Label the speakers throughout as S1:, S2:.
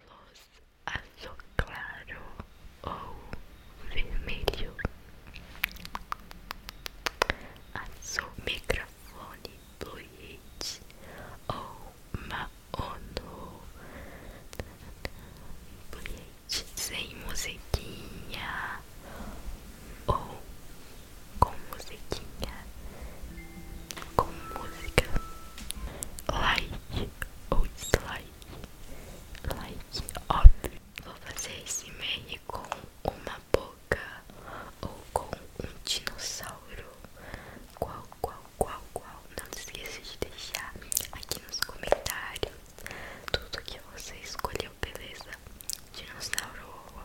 S1: Luz azul claro ou vermelho, azul microfone
S2: bluete ou maono bluete sem musiquinha ou com musiquinha, com música, like ou dislike, like óbvio. Vou fazer esse meme com uma boca ou com um dinossauro. Qual, qual, qual, qual? Não se esqueça de deixar aqui nos comentários tudo que você escolheu, beleza? Dinossauro ou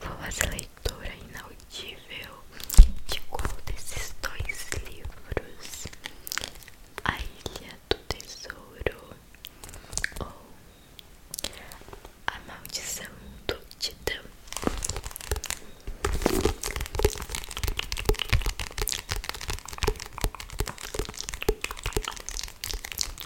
S2: Vou fazer leitura inaudível de qual desses dois livros: A Ilha do Tesouro ou A Maldição do Titã.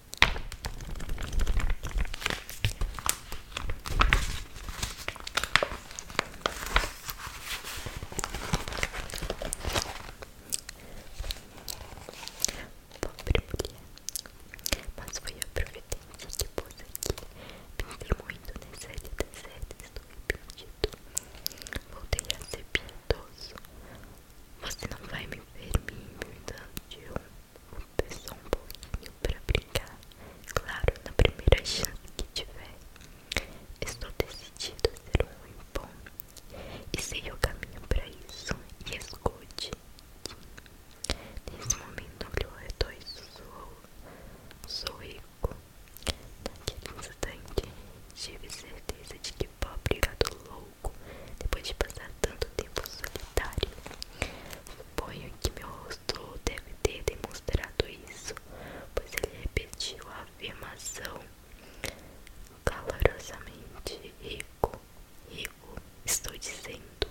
S3: Pobre mulher. Mas foi a providência que pôs aqui. Pensei muito nessa deserta, estou arrependido. Voltei a ser piedoso. Você não vai me ver me imitando de um pessoal um pouquinho pra brincar. Claro, na primeira chance que tiver. Estou decidido a ser um bom. E sei o caminho pra isso. E escute. Nesse momento olhou ao redor e sussurrou. Sou rico. Naquele instante, tive certeza de que pobre gado louco depois de passar tanto tempo solitário. Suponho que meu rosto deve ter demonstrado isso, pois ele repetiu a afirmação calorosamente: Rico, rico, estou dizendo,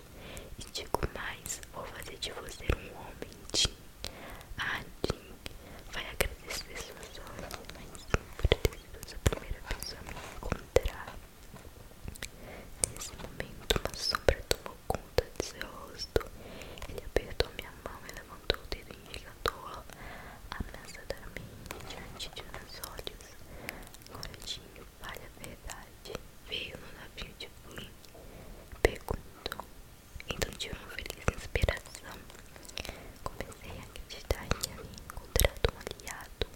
S3: e digo mais: vou fazer de você um homem, Jim. Ah, Jim, vai agradecer suas orações por ter menos a primeira pessoa a me encontrar.
S4: Nesse momento, uma sombra tomou conta de seu rosto. Ele apertou minha mão e levantou o dedo indicador ameaçadoramente diante de meus olhos. Agora tinha vale a verdade. Veio no navio de Flynn. Perguntou. Então tive uma feliz inspiração. Comecei pensei acreditar que havia encontrado um aliado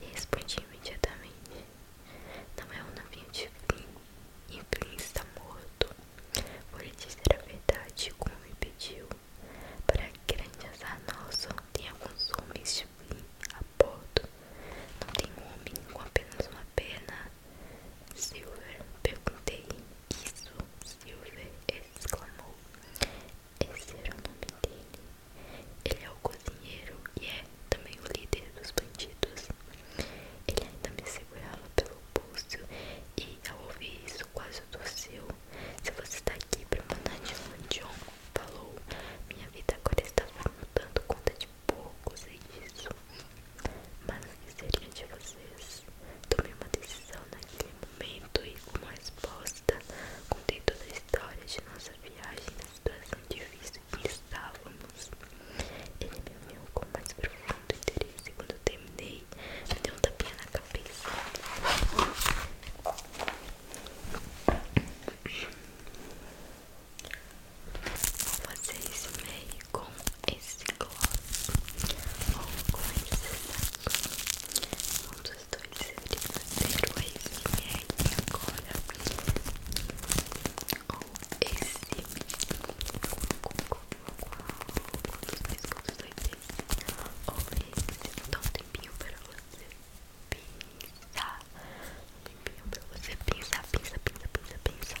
S4: e respondi imediatamente. Não é um navio de Flynn, e Flynn está morto. Vou lhe dizer a verdade como me pediu. Para grande
S5: azar nosso, tem alguns homens de Flynn a bordo. Não tem um homem com apenas uma pena. Silver, perguntei. Isso, Silver exclamou. Esse era o nome dele. Ele é o cozinheiro e é também o líder dos bandidos. Ele ainda me segurava pelo pulso e, ao ouvir isso,
S6: quase tossiu. Se você está aqui para mandar de John, falou, minha vida agora está mudando conta de pouco, sei é disso. Mas o
S7: que seria de vocês? Tomei uma decisão naquele momento e, como resposta, contei toda a história de nossa viagem na situação difícil que estávamos. Ele me olhou com mais profundo interesse quando eu terminei, me deu um tapinha na cabeça. Vou fazer esse meio com esse gloss ou começar. esse saquinho os dois deveriam ser o SMR agora ou esse qual dos dois, qual dos dois esse ou esse dá um tempinho para você pensar um tempinho para você pensar, pensar, pensar, pensar, pensar